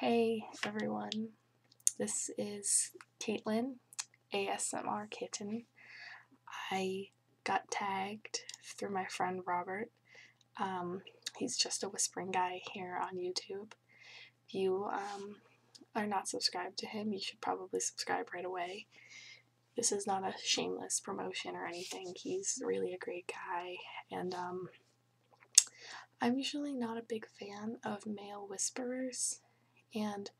Hey everyone, this is Caitlin, ASMR Kitten. I got tagged through my friend Robert. Um, he's just a whispering guy here on YouTube. If you um, are not subscribed to him, you should probably subscribe right away. This is not a shameless promotion or anything. He's really a great guy, and um, I'm usually not a big fan of male whisperers, and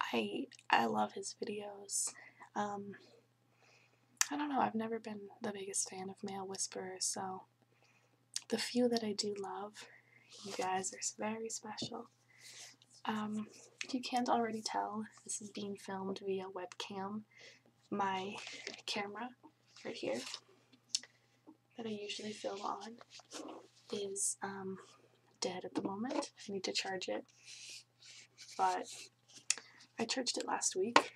I I love his videos. Um, I don't know. I've never been the biggest fan of male whisperers, so the few that I do love, you guys are very special. Um, you can't already tell, this is being filmed via webcam. My camera right here that I usually fill on is um, dead at the moment. I need to charge it. But I charged it last week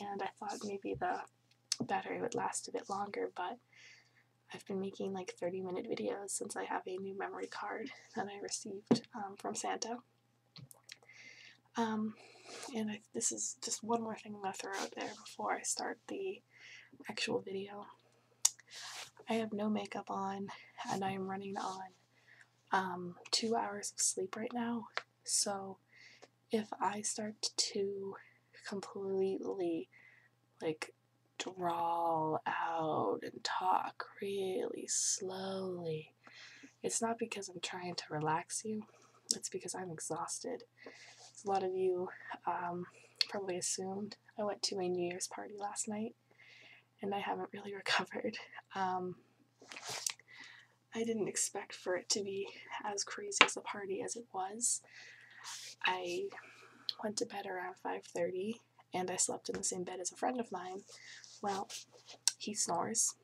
and I thought maybe the battery would last a bit longer, but I've been making like 30 minute videos since I have a new memory card that I received um, from Santa. Um, and this is just one more thing I'm going to throw out there before I start the actual video. I have no makeup on, and I am running on um, two hours of sleep right now. So if I start to completely like drawl out and talk really slowly, it's not because I'm trying to relax you, it's because I'm exhausted a lot of you um, probably assumed, I went to a New Year's party last night and I haven't really recovered. Um, I didn't expect for it to be as crazy as the party as it was. I went to bed around 5:30 and I slept in the same bed as a friend of mine. Well, he snores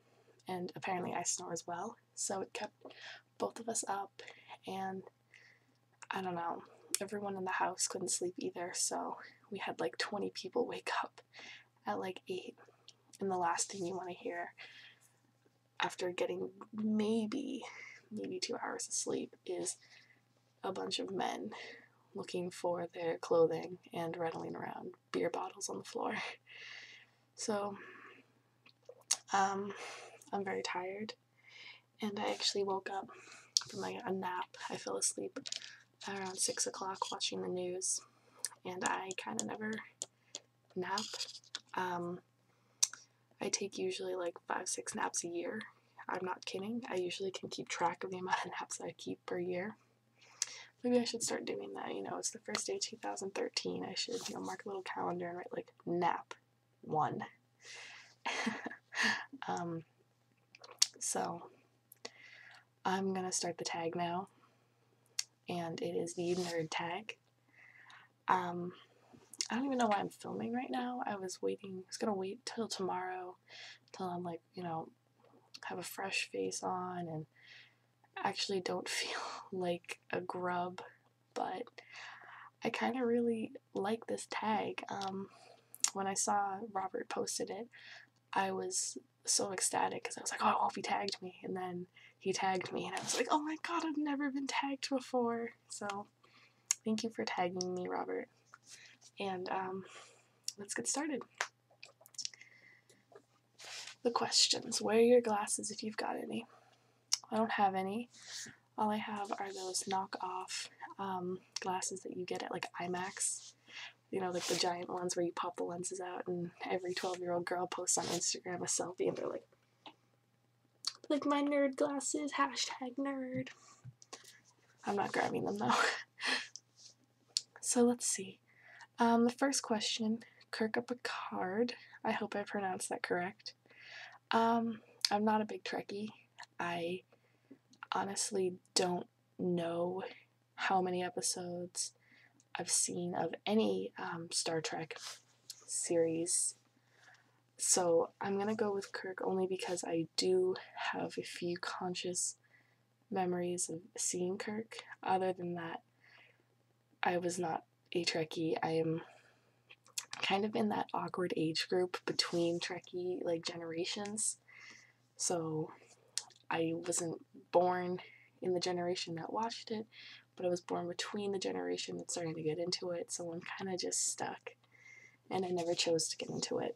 and apparently I snore as well, so it kept both of us up, and I don't know, everyone in the house couldn't sleep either, so we had like 20 people wake up at like 8. And the last thing you want to hear after getting maybe, maybe two hours of sleep is a bunch of men looking for their clothing and rattling around beer bottles on the floor. So, um, I'm very tired, and I actually woke up from like a nap. I fell asleep around 6 o'clock watching the news, and I kind of never nap. Um, I take usually like 5 6 naps a year. I'm not kidding. I usually can keep track of the amount of naps I keep per year. Maybe I should start doing that. You know, it's first day 2013. I should you know mark a little calendar and write like nap one. Um, so I'm gonna start the tag now, and it is the nerd tag. Um, I don't even know why I'm filming right now. I was waiting. I was gonna wait till tomorrow, till I'm like you know have a fresh face on and actually don't feel like a grub, but I kind of really like this tag. Um, when I saw Robert posted it, I was so ecstatic because I was like, oh, I he tagged me. And then he tagged me, and I was like, oh my god, I've never been tagged before. So thank you for tagging me, Robert. And um, let's get started. The questions wear your glasses if you've got any. I don't have any. All I have are those knockoff um, glasses that you get at like IMAX. You know, like the giant ones where you pop the lenses out, and every 12 year old girl posts on Instagram a selfie and they're like, like my nerd glasses, hashtag nerd. I'm not grabbing them though. so let's see. Um, the first question Kirk up a card. I hope I pronounced that correct. Um, I'm not a big Trekkie. I honestly don't know how many episodes I've seen of any um, Star Trek series. So I'm gonna go with Kirk only because I do have a few conscious memories of seeing Kirk. Other than that, I was not a Trekkie. I am kind of in that awkward age group between Trekkie like generations. So I wasn't born in the generation that watched it, but I was born between the generation that started to get into it, so I'm kind of just stuck. And I never chose to get into it.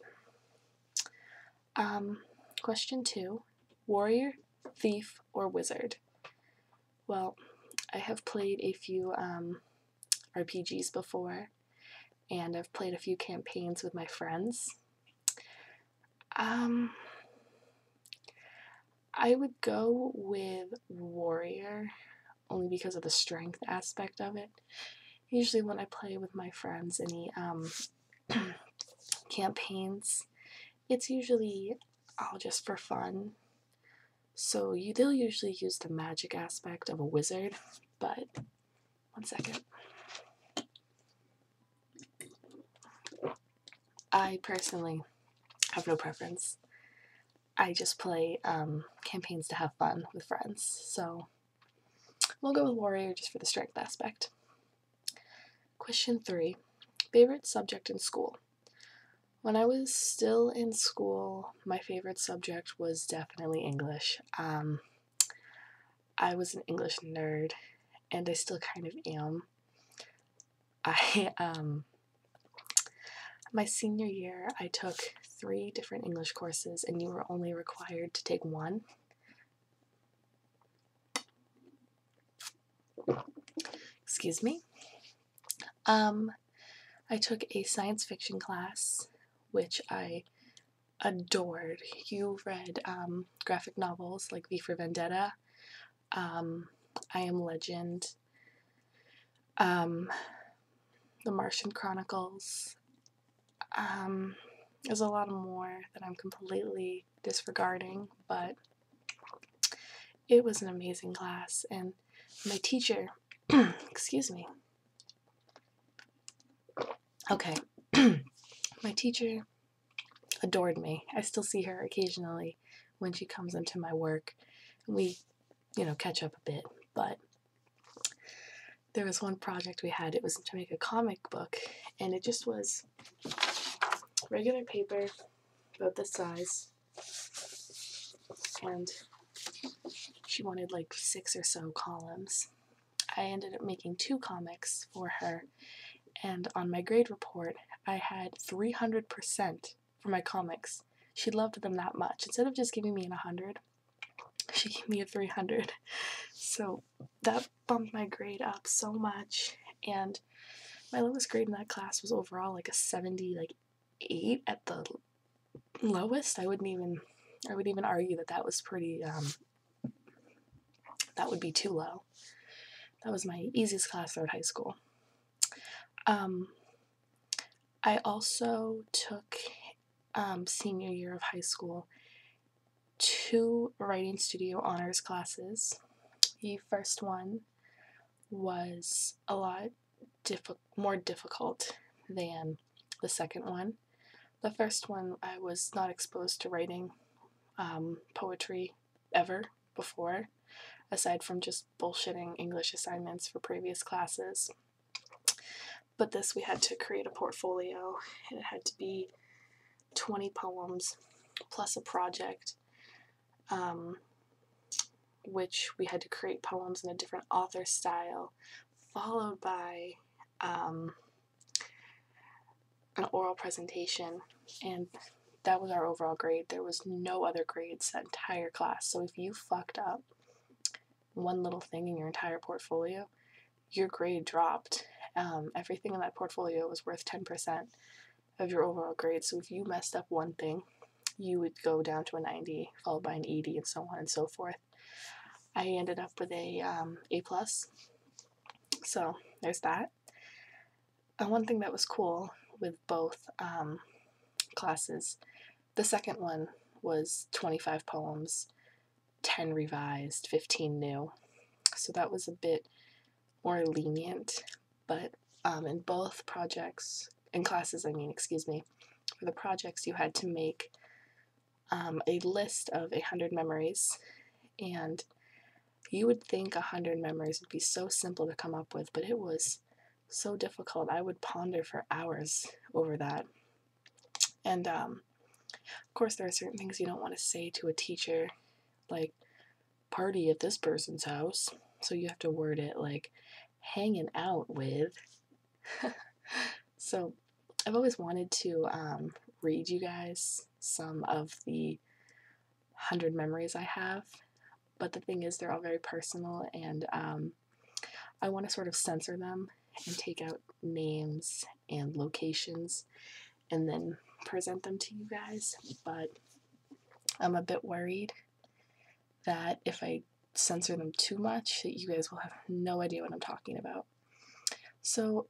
Um, question two Warrior, Thief, or Wizard? well, I have played a few um, RPGs before, and I've played a few campaigns with my friends. Um, I would go with Warrior only because of the strength aspect of it. Usually, when I play with my friends any um, campaigns, it's usually all just for fun so you, they'll usually use the magic aspect of a wizard, but one second. I personally have no preference. I just play um, campaigns to have fun with friends, so we'll go with warrior just for the strength aspect. Question three, favorite subject in school? When I was still in school, my favorite subject was definitely English. Um, I was an English nerd, and I still kind of am. I um, my senior year, I took three different English courses, and you were only required to take one. Excuse me. Um, I took a science fiction class, which I adored. You read um, graphic novels like V for Vendetta, um, I Am Legend, um, The Martian Chronicles. Um, there's a lot more that I'm completely disregarding, but it was an amazing class, and my teacher, excuse me. Okay, my teacher adored me. I still see her occasionally when she comes into my work. and We, you know, catch up a bit, but there was one project we had. It was to make a comic book, and it just was regular paper about this size, and she wanted like six or so columns. I ended up making two comics for her, and on my grade report, I had 300% for my comics. She loved them that much. Instead of just giving me an 100, she gave me a 300. So that bumped my grade up so much, and my lowest grade in that class was overall like a 70, like eight at the lowest. I wouldn't even, I would even argue that that was pretty, um, that would be too low. That was my easiest class throughout high school. Um, I also took um, senior year of high school two writing studio honors classes. The first one was a lot diffi more difficult than the second one. The first one, I was not exposed to writing um, poetry ever before, aside from just bullshitting English assignments for previous classes. But this, we had to create a portfolio, and it had to be 20 poems plus a project um, which we had to create poems in a different author style, followed by um, an oral presentation, and that was our overall grade. There was no other grades that entire class. So if you fucked up one little thing in your entire portfolio, your grade dropped. Um, everything in that portfolio was worth 10% of your overall grade. So if you messed up one thing, you would go down to a 90, followed by an 80, and so on and so forth. I ended up with a um, A plus. So there's that. And uh, one thing that was cool with both um, classes, the second one was 25 poems, 10 revised, 15 new. So that was a bit more lenient, but um, in both projects, in classes, I mean, excuse me, for the projects, you had to make um, a list of 100 memories, and you would think 100 memories would be so simple to come up with, but it was so difficult. I would ponder for hours over that. And um, of course, there are certain things you don't want to say to a teacher, like party at this person's house. So you have to word it like, hanging out with. so I've always wanted to um, read you guys some of the 100 memories I have, but the thing is, they're all very personal, and um, I want to sort of censor them and take out names and locations and then present them to you guys, but I'm a bit worried that if I censor them too much that you guys will have no idea what I'm talking about. So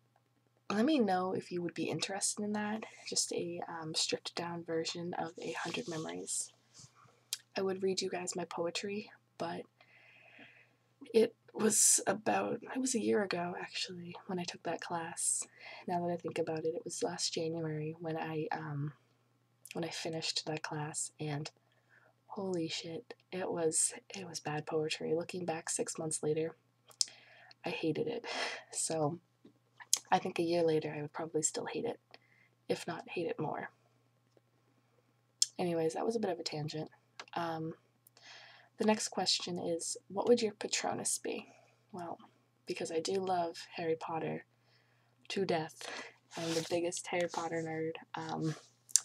let me know if you would be interested in that, just a um, stripped down version of A Hundred Memories. I would read you guys my poetry, but it was about, it was a year ago actually when I took that class. Now that I think about it, it was last January when I um, when I finished that class and holy shit, it was it was bad poetry. Looking back 6 months later, I hated it. So I think a year later I would probably still hate it, if not hate it more. Anyways, that was a bit of a tangent. Um, the next question is what would your Patronus be? Well, because I do love Harry Potter to death. I'm the biggest Harry Potter nerd um,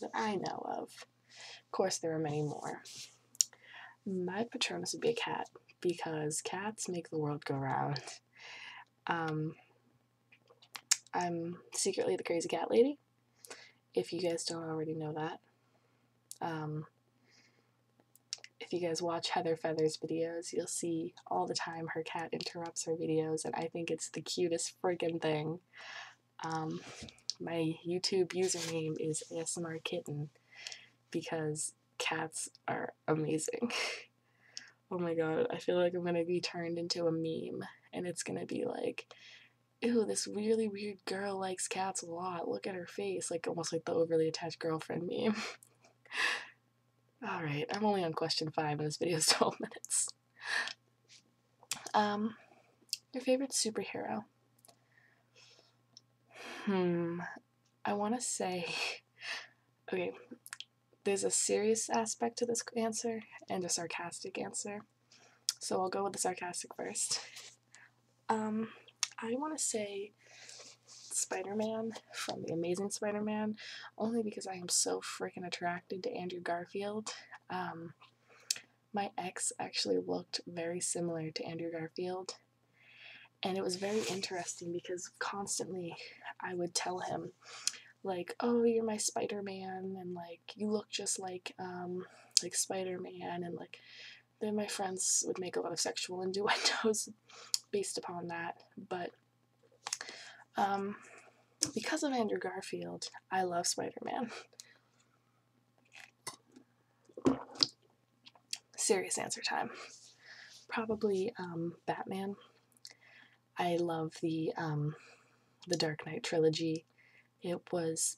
that I know of. Of course, there are many more. My Patronus would be a cat because cats make the world go round. Um, I'm secretly the crazy cat lady, if you guys don't already know that. Um, if you guys watch Heather Feather's videos, you'll see all the time. Her cat interrupts her videos, and I think it's the cutest friggin' thing. Um, my YouTube username is ASMR Kitten because cats are amazing. oh my god, I feel like I'm gonna be turned into a meme, and it's gonna be like, ew, this really weird girl likes cats a lot. Look at her face. Like, almost like the overly attached girlfriend meme. Alright, I'm only on question five and this video is 12 minutes. Um, your favorite superhero? Hmm, I want to say. Okay, there's a serious aspect to this answer and a sarcastic answer. So I'll go with the sarcastic first. Um, I want to say Spider Man from The Amazing Spider Man only because I am so freaking attracted to Andrew Garfield. Um, my ex actually looked very similar to Andrew Garfield, and it was very interesting because constantly I would tell him, like, "Oh, you're my Spider Man," and like, "You look just like um, like Spider Man," and like, then my friends would make a lot of sexual innuendos based upon that, but um, because of Andrew Garfield, I love Spider Man. Serious answer time. Probably um, Batman. I love the um, the Dark Knight trilogy. It was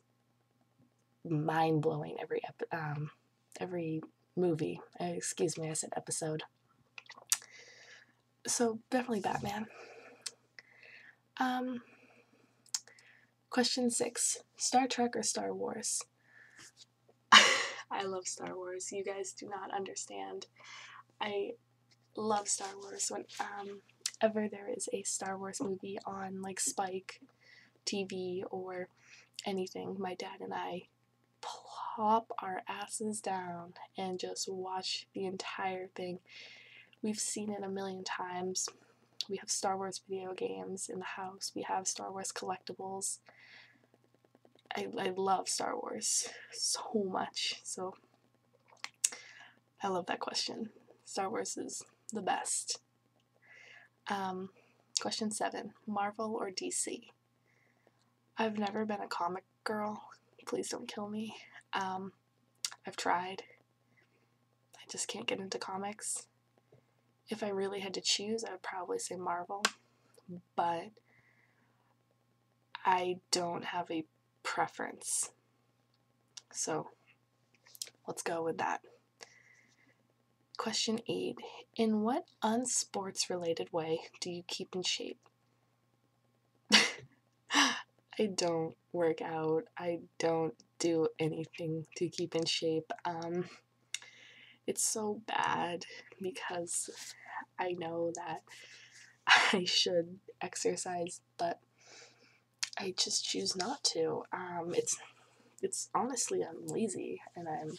mind blowing every um, every movie. Excuse me, I said episode so definitely Batman. Um, question six Star Trek or Star Wars? I love Star Wars. You guys do not understand. I love Star Wars. When um, ever there is a Star Wars movie on like Spike TV or anything, my dad and I plop our asses down and just watch the entire thing. We've seen it a million times. We have Star Wars video games in the house, we have Star Wars collectibles. I, I love Star Wars so much. So I love that question. Star Wars is the best. Um, question seven Marvel or DC? I've never been a comic girl. Please don't kill me. Um, I've tried. I just can't get into comics. If I really had to choose, I would probably say Marvel, but I don't have a preference. So let's go with that. Question 8 In what unsports related way do you keep in shape? I don't work out. I don't do anything to keep in shape. Um, it's so bad because I know that I should exercise, but I just choose not to. Um, it's it's honestly I'm lazy and I'm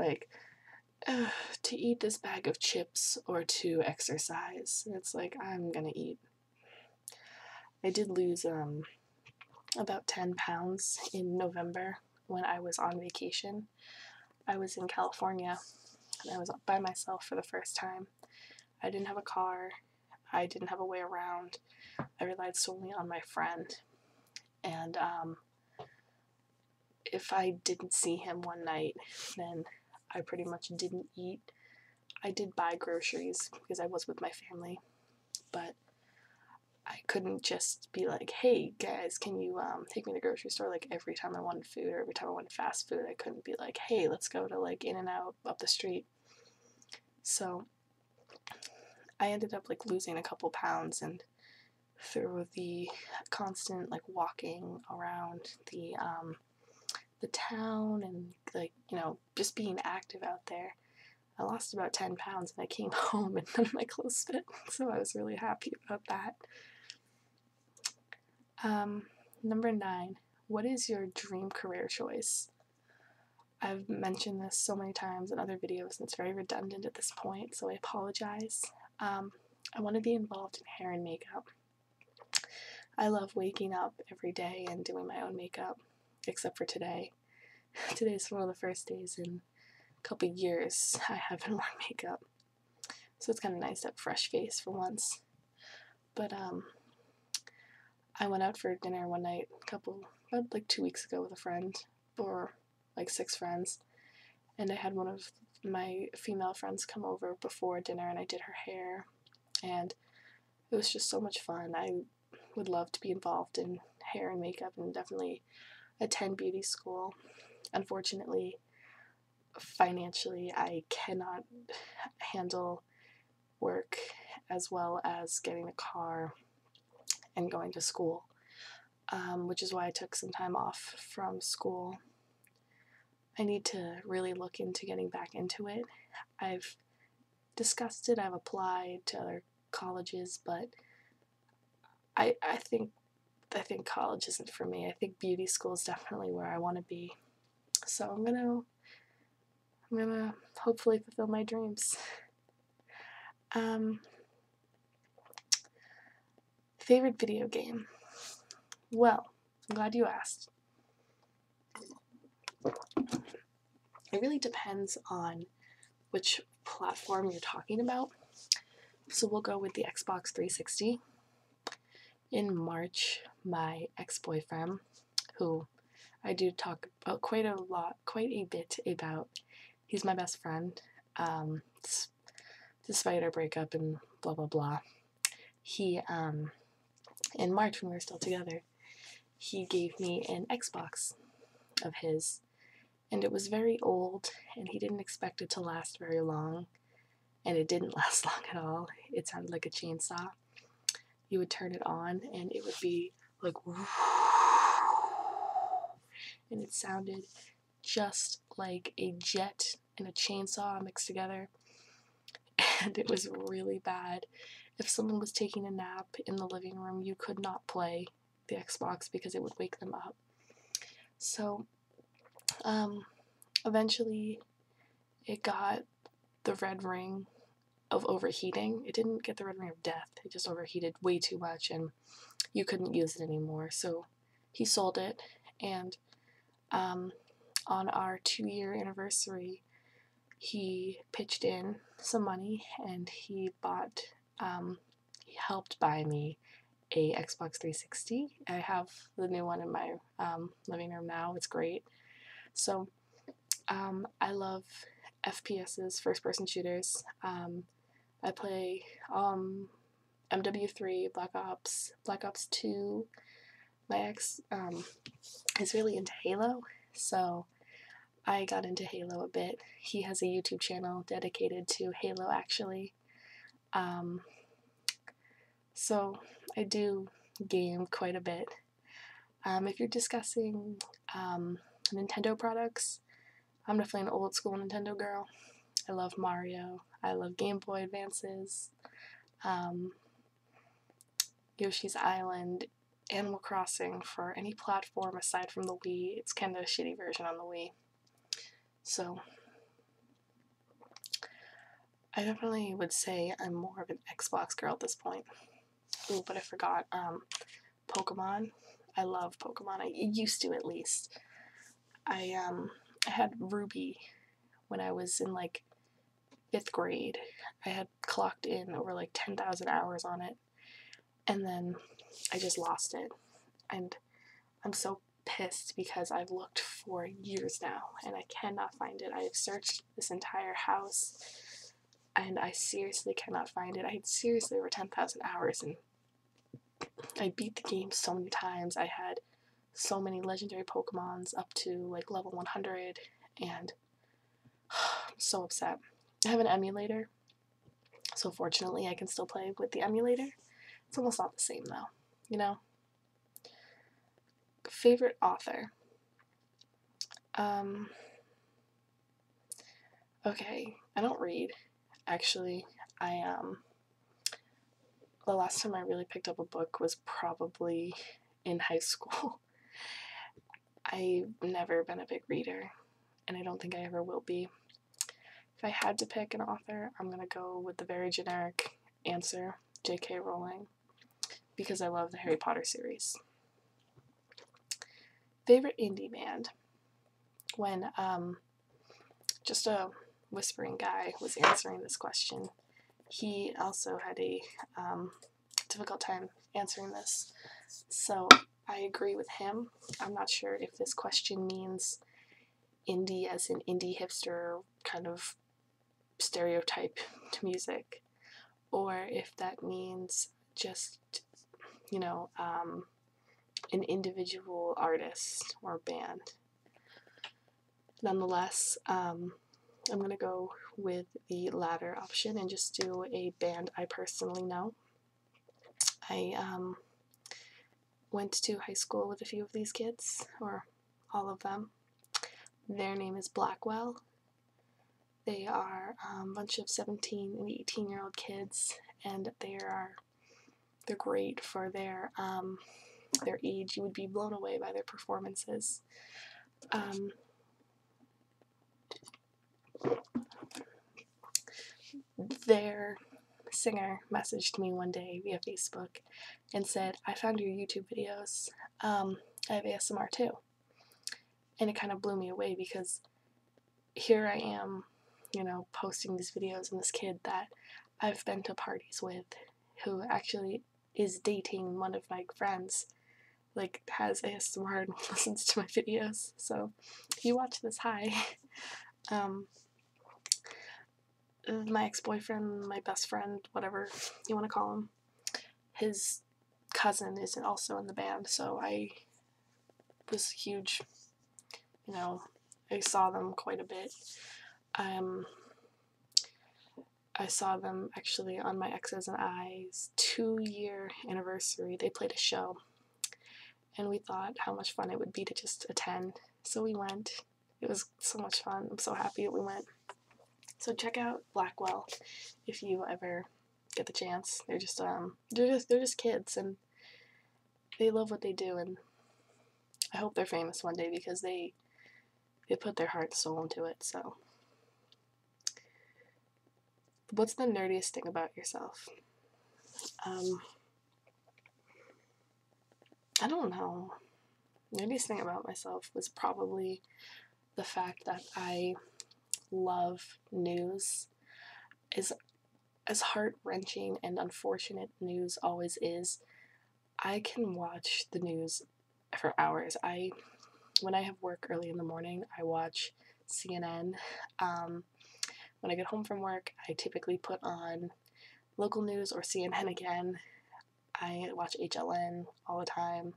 like uh, to eat this bag of chips or to exercise. And it's like, I'm gonna eat. I did lose um, about 10 pounds in November when I was on vacation. I was in California and I was by myself for the first time. I didn't have a car, I didn't have a way around. I relied solely on my friend. And um, if I didn't see him one night, then I pretty much didn't eat. I did buy groceries because I was with my family, but I couldn't just be like, hey guys, can you um, take me to the grocery store? Like every time I wanted food or every time I wanted fast food, I couldn't be like, hey, let's go to like In and Out up the street. So I ended up like losing a couple pounds and through the constant like walking around the um, the town and like you know just being active out there. I lost about 10 pounds and I came home and none of my clothes fit, so I was really happy about that. Um, number nine, what is your dream career choice? I've mentioned this so many times in other videos and it's very redundant at this point, so I apologize. Um, I want to be involved in hair and makeup. I love waking up every day and doing my own makeup, except for today. Today's one of the first days in a couple years I haven't worn makeup. So it's kind of nice to have fresh face for once. But um, I went out for dinner one night, a couple, like two weeks ago with a friend, or like six friends, and I had one of my female friends come over before dinner and I did her hair and it was just so much fun. I would love to be involved in hair and makeup and definitely attend beauty school. Unfortunately, financially, I cannot handle work as well as getting a car and going to school, um, which is why I took some time off from school I need to really look into getting back into it. I've discussed it, I've applied to other colleges, but I I think I think college isn't for me. I think beauty school is definitely where I want to be. So I'm gonna I'm gonna hopefully fulfill my dreams. Um, Favorite video game? Well, I'm glad you asked. It really depends on which platform you're talking about. So we'll go with the Xbox 360. In March, my ex boyfriend, who I do talk about quite a lot, quite a bit about, he's my best friend. Um, despite our breakup and blah blah blah. He um in March when we were still together, he gave me an Xbox of his and it was very old and he didn't expect it to last very long and it didn't last long at all. It sounded like a chainsaw. You would turn it on and it would be like and it sounded just like a jet and a chainsaw mixed together, and it was really bad. If someone was taking a nap in the living room, you could not play the Xbox because it would wake them up. So, um, eventually, it got the red ring of overheating. It didn't get the red ring of death, it just overheated way too much, and you couldn't use it anymore. So, he sold it, and um, on our two year anniversary, he pitched in some money and he bought, um, he helped buy me a Xbox 360. I have the new one in my um, living room now. It's great. So um, I love FPSs, first person shooters. Um, I play um, MW3, Black Ops, Black Ops 2. My ex um, is really into Halo, so I got into Halo a bit. He has a YouTube channel dedicated to Halo, actually. Um, so I do game quite a bit. Um, if you're discussing um, Nintendo products, I'm definitely an old school Nintendo girl. I love Mario. I love Game Boy Advances. Um, Yoshi's Island, Animal Crossing for any platform aside from the Wii. It's kind of a shitty version on the Wii. So, I definitely would say I'm more of an Xbox girl at this point. Oh, but I forgot. Um, Pokemon. I love Pokemon. I used to at least. I um I had Ruby when I was in like fifth grade. I had clocked in over like 10,000 hours on it, and then I just lost it. And I'm so pissed because I've looked for years now and I cannot find it. I have searched this entire house and I seriously cannot find it. I had seriously over 10,000 hours and I beat the game so many times. I had so many legendary Pokemons up to like level 100, and I'm so upset. I have an emulator, so fortunately I can still play with the emulator. It's almost not the same though, you know? Favorite author? Um, okay, I don't read, actually. I, um, the last time I really picked up a book was probably in high school. I've never been a big reader, and I don't think I ever will be. If I had to pick an author, I'm gonna go with the very generic answer J.K. Rowling, because I love the Harry Potter series. Favorite indie band? When, um, just a whispering guy was answering this question, he also had a um, difficult time answering this. So I agree with him. I'm not sure if this question means indie as an indie hipster kind of stereotype to music, or if that means just, you know, um, an individual artist or band. Nonetheless, um, I'm going to go with the latter option and just do a band I personally know. I um, went to high school with a few of these kids, or all of them. Their name is Blackwell. They are a um, bunch of 17 and 18 year old kids, and they are they're great for their their age, you would be blown away by their performances. Um, their singer messaged me one day via Facebook and said, I found your YouTube videos. I um, have ASMR too. And it kind of blew me away because here I am, you know, posting these videos and this kid that I've been to parties with who actually is dating one of my friends like has a smart listens to my videos. So if you watch this, hi. Um, my ex-boyfriend, my best friend, whatever you want to call him, his cousin is also in the band, so I was huge, you know, I saw them quite a bit. Um, I saw them actually on my exes and I's two year anniversary. They played a show, and we thought how much fun it would be to just attend. So we went. It was so much fun. I'm so happy we went. So check out Blackwell if you ever get the chance. They're just um they're just they're just kids and they love what they do and I hope they're famous one day because they they put their heart soul into it. So, what's the nerdiest thing about yourself? Um, I don't know. Nerdiest thing about myself was probably the fact that I love news. Is as heart wrenching and unfortunate news always is, I can watch the news for hours. I when I have work early in the morning, I watch CNN. Um, when I get home from work, I typically put on local news or CNN again. I watch HLN all the time.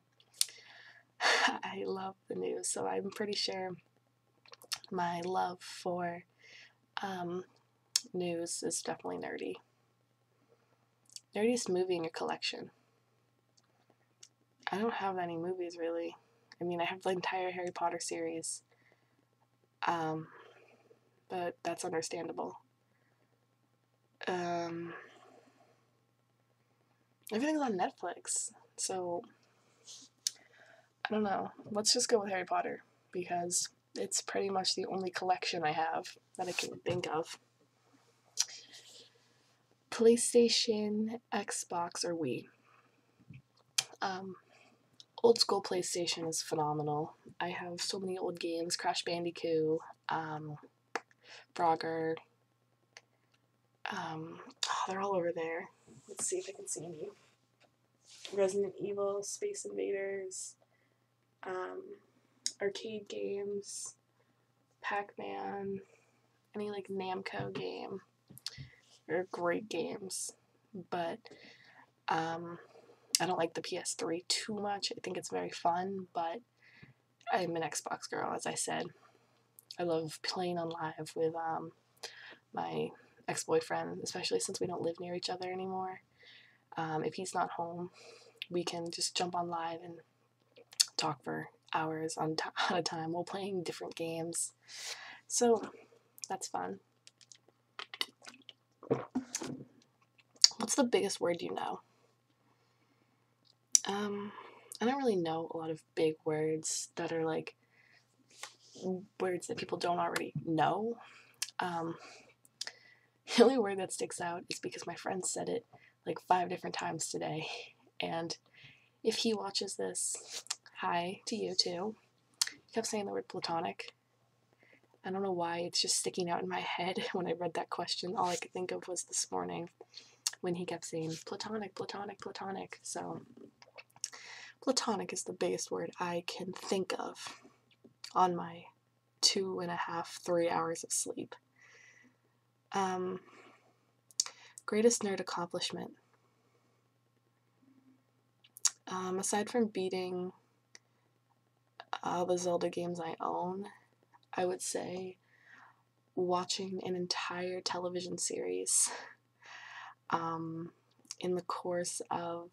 I love the news, so I'm pretty sure my love for um, news is definitely nerdy. Nerdiest movie in your collection. I don't have any movies really. I mean, I have the entire Harry Potter series. Um, but that's understandable. Um, everything's on Netflix, so I don't know. Let's just go with Harry Potter because it's pretty much the only collection I have that I can think of. PlayStation, Xbox, or Wii. Um, old school PlayStation is phenomenal. I have so many old games Crash Bandicoot, um, Frogger. Um, oh, they're all over there. Let's see if I can see any. Resident Evil, Space Invaders, um, arcade games, Pac-Man, any like Namco game. They're great games, but um, I don't like the PS3 too much. I think it's very fun, but I'm an Xbox girl, as I said. I love playing on live with um, my ex-boyfriend, especially since we don't live near each other anymore. Um, if he's not home, we can just jump on live and talk for hours on t- at a time while playing different games. So that's fun. What's the biggest word you know? Um, I don't really know a lot of big words that are like words that people don't already know. Um, The only word that sticks out is because my friend said it like five different times today. And if he watches this, hi to you too. He kept saying the word platonic. I don't know why, it's just sticking out in my head when I read that question. All I could think of was this morning when he kept saying platonic, platonic, platonic. So, platonic is the biggest word I can think of on my two and a half, three hours of sleep. Um, greatest nerd accomplishment. Um, aside from beating all the Zelda games I own, I would say watching an entire television series um, in the course of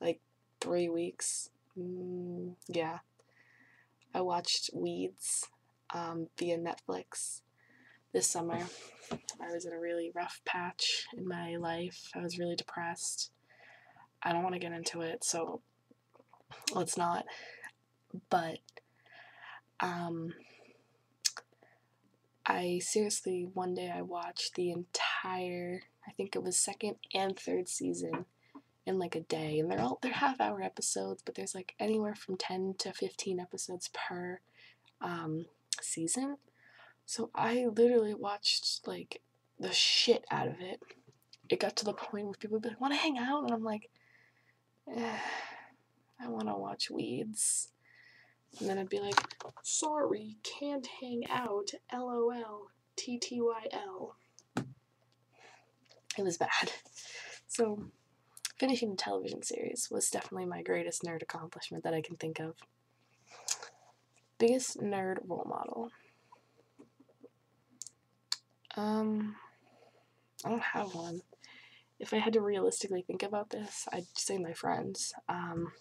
like three weeks Mm, yeah. I watched Weeds um, via Netflix this summer. I was in a really rough patch in my life. I was really depressed. I don't want to get into it, so let's not. But um, I seriously, one day I watched the entire, I think it was second and third season in like a day and they're all they're half hour episodes but there's like anywhere from 10 to 15 episodes per um, season so i literally watched like the shit out of it it got to the point where people would be like want to hang out and i'm like eh, i want to watch weeds and then i'd be like sorry can't hang out lol TTYL. It was bad. So, finishing the television series was definitely my greatest nerd accomplishment that I can think of. Biggest nerd role model. Um, I don't have one. If I had to realistically think about this, I'd say my friends. Um,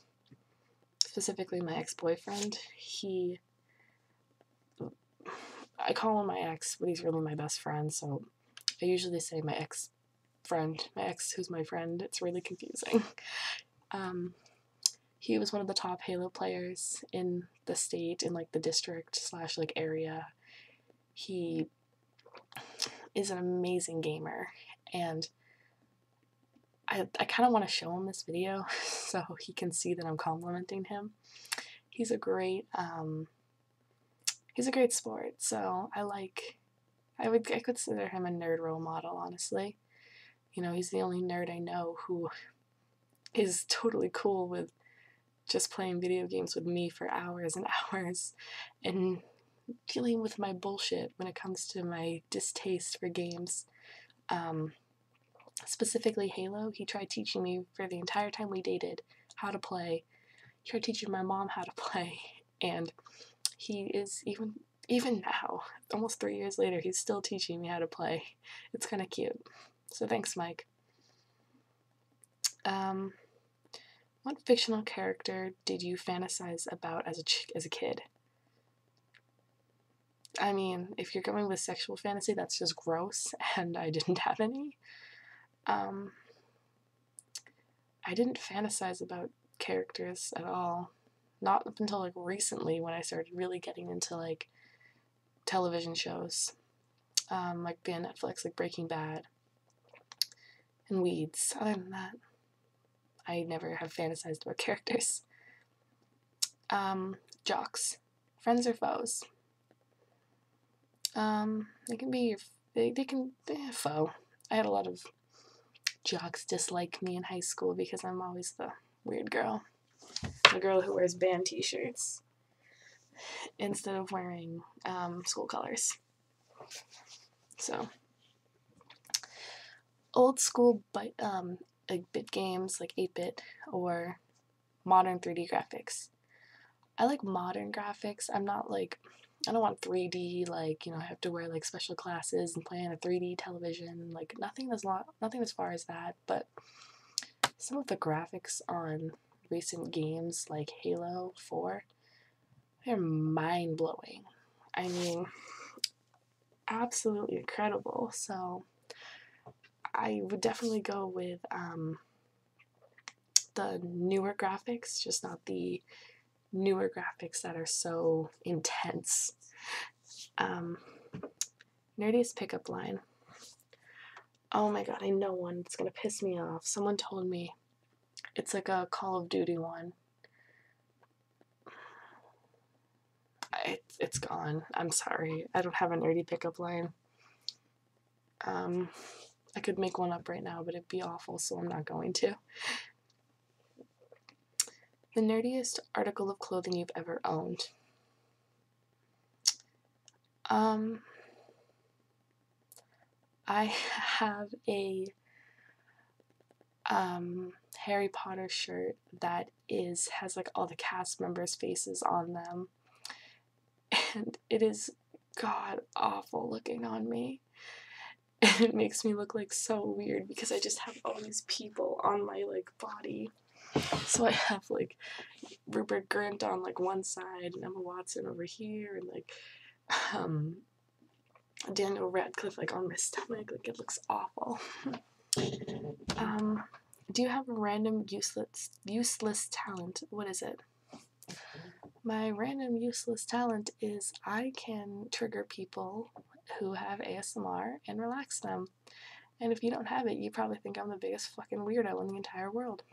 specifically my ex boyfriend. He I call him my ex, but he's really my best friend, so I usually say my ex friend, my ex who's my friend. It's really confusing. Um, he was one of the top Halo players in the state, in like the district slash like area. He is an amazing gamer, and I I kind of want to show him this video so he can see that I'm complimenting him he's a great um, he's a great sport. So I like I would I consider him a nerd role model, honestly. You know, he's the only nerd I know who is totally cool with just playing video games with me for hours and hours and dealing with my bullshit when it comes to my distaste for games. Um, specifically Halo. He tried teaching me for the entire time we dated how to play. He tried teaching my mom how to play, and he is even even now, almost three years later, he's still teaching me how to play. It's kind of cute. So thanks, Mike. Um, what fictional character did you fantasize about as a as a kid? I mean, if you're going with sexual fantasy, that's just gross and I didn't have any. Um, I didn't fantasize about characters at all. Not up until like recently when I started really getting into like television shows, um, like being Netflix, like Breaking Bad and Weeds. Other than that, I never have fantasized about characters. Um, jocks friends, or foes. Um, they can be they, they can they foe. I had a lot of jocks dislike me in high school because I'm always the weird girl, the girl who wears band T-shirts instead of wearing um, school colors. So, old school bit, um, bit games like 8 bit or modern 3D graphics. I like modern graphics. I'm not like I don't want 3D like, you know, I have to wear like special classes and play on a 3D television, like nothing as long, nothing as far as that, but some of the graphics on recent games like Halo 4 they're mind-blowing. I mean, absolutely incredible. So I would definitely go with um, the newer graphics, just not the newer graphics that are so intense. Um, nerdiest pickup line. Oh my god, I know one. It's gonna piss me off. Someone told me it's like a Call of Duty one. It, it's gone. I'm sorry. I don't have a nerdy pickup line. Um, I could make one up right now, but it'd be awful, so I'm not going to. The nerdiest article of clothing you've ever owned. Um, I have a um, Harry Potter shirt that is has like all the cast members' faces on them, and it is god awful looking on me. And it makes me look like so weird because I just have all these people on my like body. So I have like Rupert Grint on like one side and Emma Watson over here and like um Daniel Radcliffe like on my stomach. Like it looks awful. um do you have a random useless useless talent? What is it? My random useless talent is I can trigger people who have ASMR and relax them. And if you don't have it, you probably think I'm the biggest fucking weirdo in the entire world.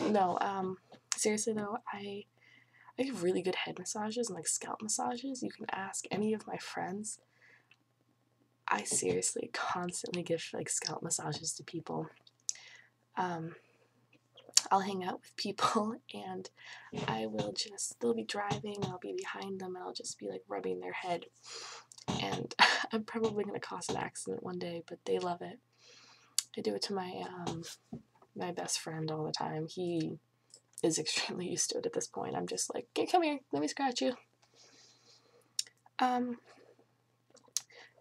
No, um, seriously though, I I have really good head massages and like scalp massages. You can ask any of my friends. I seriously constantly give like scalp massages to people. Um, I'll hang out with people and I will just, they'll be driving, I'll be behind them, and I'll just be like rubbing their head. And I'm probably going to cause an accident one day, but they love it. I do it to my, um, my best friend all the time. He is extremely used to it at this point. I'm just like, hey, come here, let me scratch you. Um,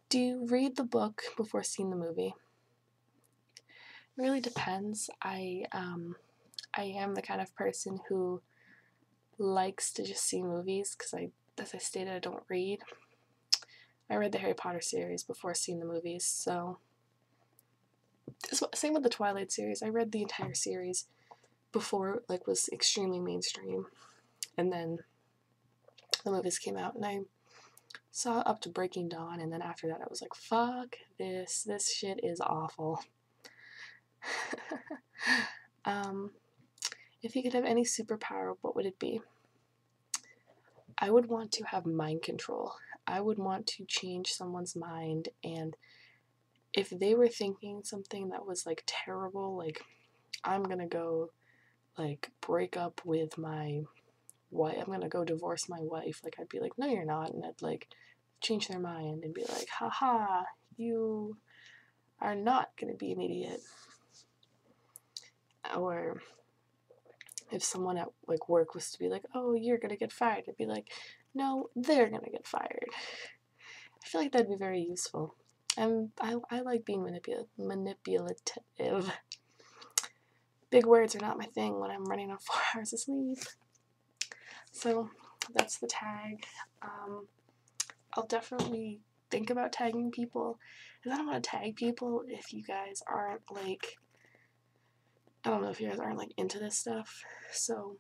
do you read the book before seeing the movie? It really depends. I um, I am the kind of person who likes to just see movies because I, as I stated, I don't read. I read the Harry Potter series before seeing the movies, so same with the Twilight series. I read the entire series before like was extremely mainstream. And then the movies came out and I saw up to Breaking Dawn and then after that I was like, fuck this, this shit is awful. um, if you could have any superpower, what would it be? I would want to have mind control. I would want to change someone's mind and if they were thinking something that was like terrible, like I'm gonna go like break up with my wife. I'm gonna go divorce my wife. Like I'd be like, no, you're not, and I'd like change their mind and be like, haha, you are not gonna be an idiot. Or if someone at like work was to be like, oh, you're gonna get fired, I'd be like, no, they're gonna get fired. I feel like that'd be very useful. I'm, I, I like being manipula manipulative. Big words are not my thing when I'm running on four hours of sleep. So that's the tag. Um, I'll definitely think about tagging people. Because I don't want to tag people if you guys aren't like, I don't know if you guys aren't like into this stuff. So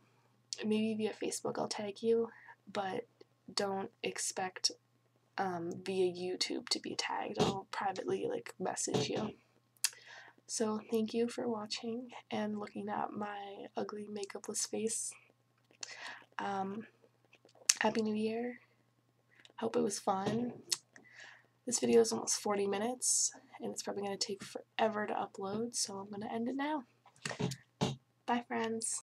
maybe via Facebook I'll tag you, but don't expect um, via YouTube to be tagged. I'll privately like message you. So thank you for watching and looking at my ugly makeupless face. Um, Happy New Year. Hope it was fun. This video is almost 40 minutes and it's probably going to take forever to upload so I'm going to end it now. Bye friends.